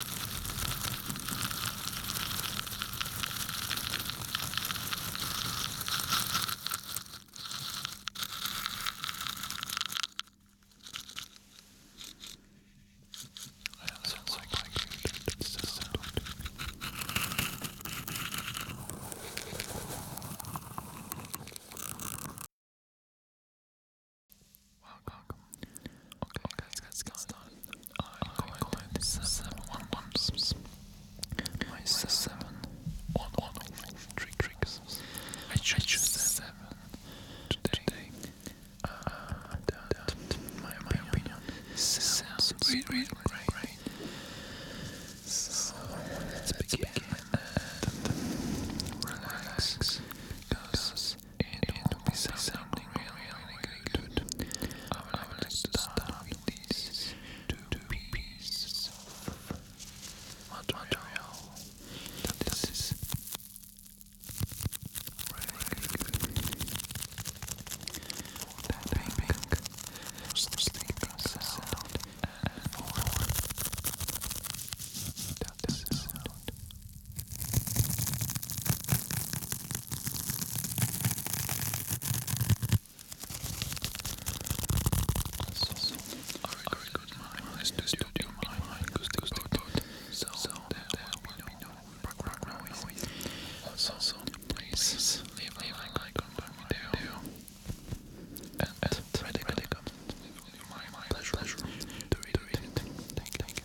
I don't sound like I can so sound. Welcome. Okay, okay, let's get I'm going to seven one ones. My seven one one trick tricks. I choose seven today. Uh, my my opinion, sounds really really great. let's begin relax because this. It, it will be sounding really, really good. I would like to start with these two pieces of material. This is really good. That pink for sleeping sound and for that sound. So, please leave a like on the video. And, and, ready, ready, come. My, my pleasure, pleasure to read it. Thank you.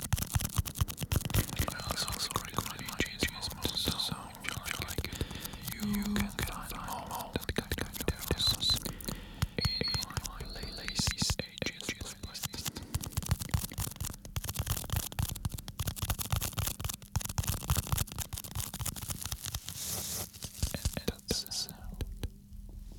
I also recommend changing modes so if you like it, you can find all that kind of videos in my playlist, Ages playlist. And that's the sound.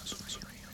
Adesso mi sono io.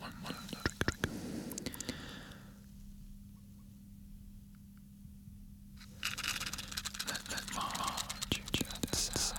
One, one, drink, drink. Let, let my heart change that sound.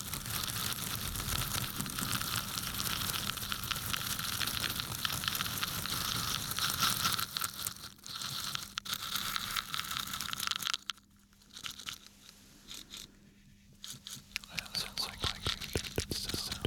That sounds like my good sound.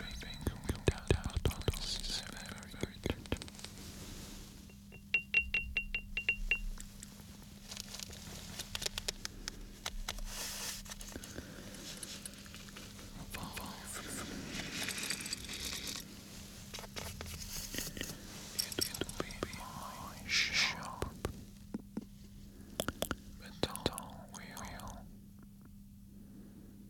Everything comes down to the very, very good. It will be my sharp metal wheel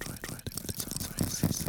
Try, try it, it sounds like this.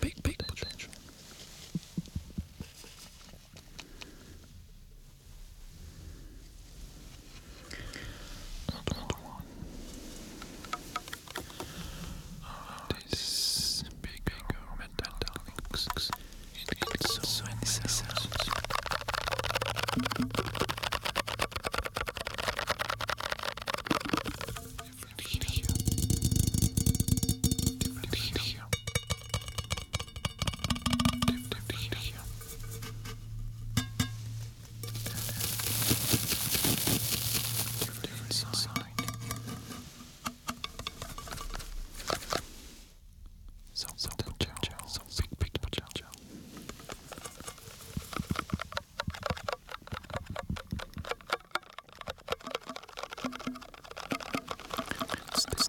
Big, big potential. Another one. Oh, this big, big metallics. It gets so, so many sounds. Different here. Different here. Different side. So, so, gel, gel, so, big, big, gel, gel. It's this,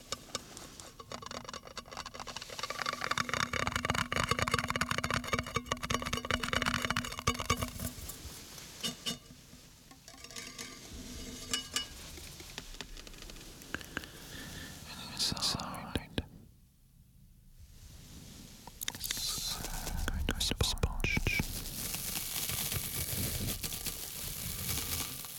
Inside. It's a kind of sponge. sponge.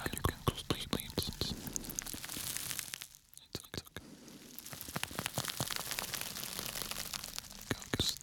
And you can go sleep. It's okay. Go, just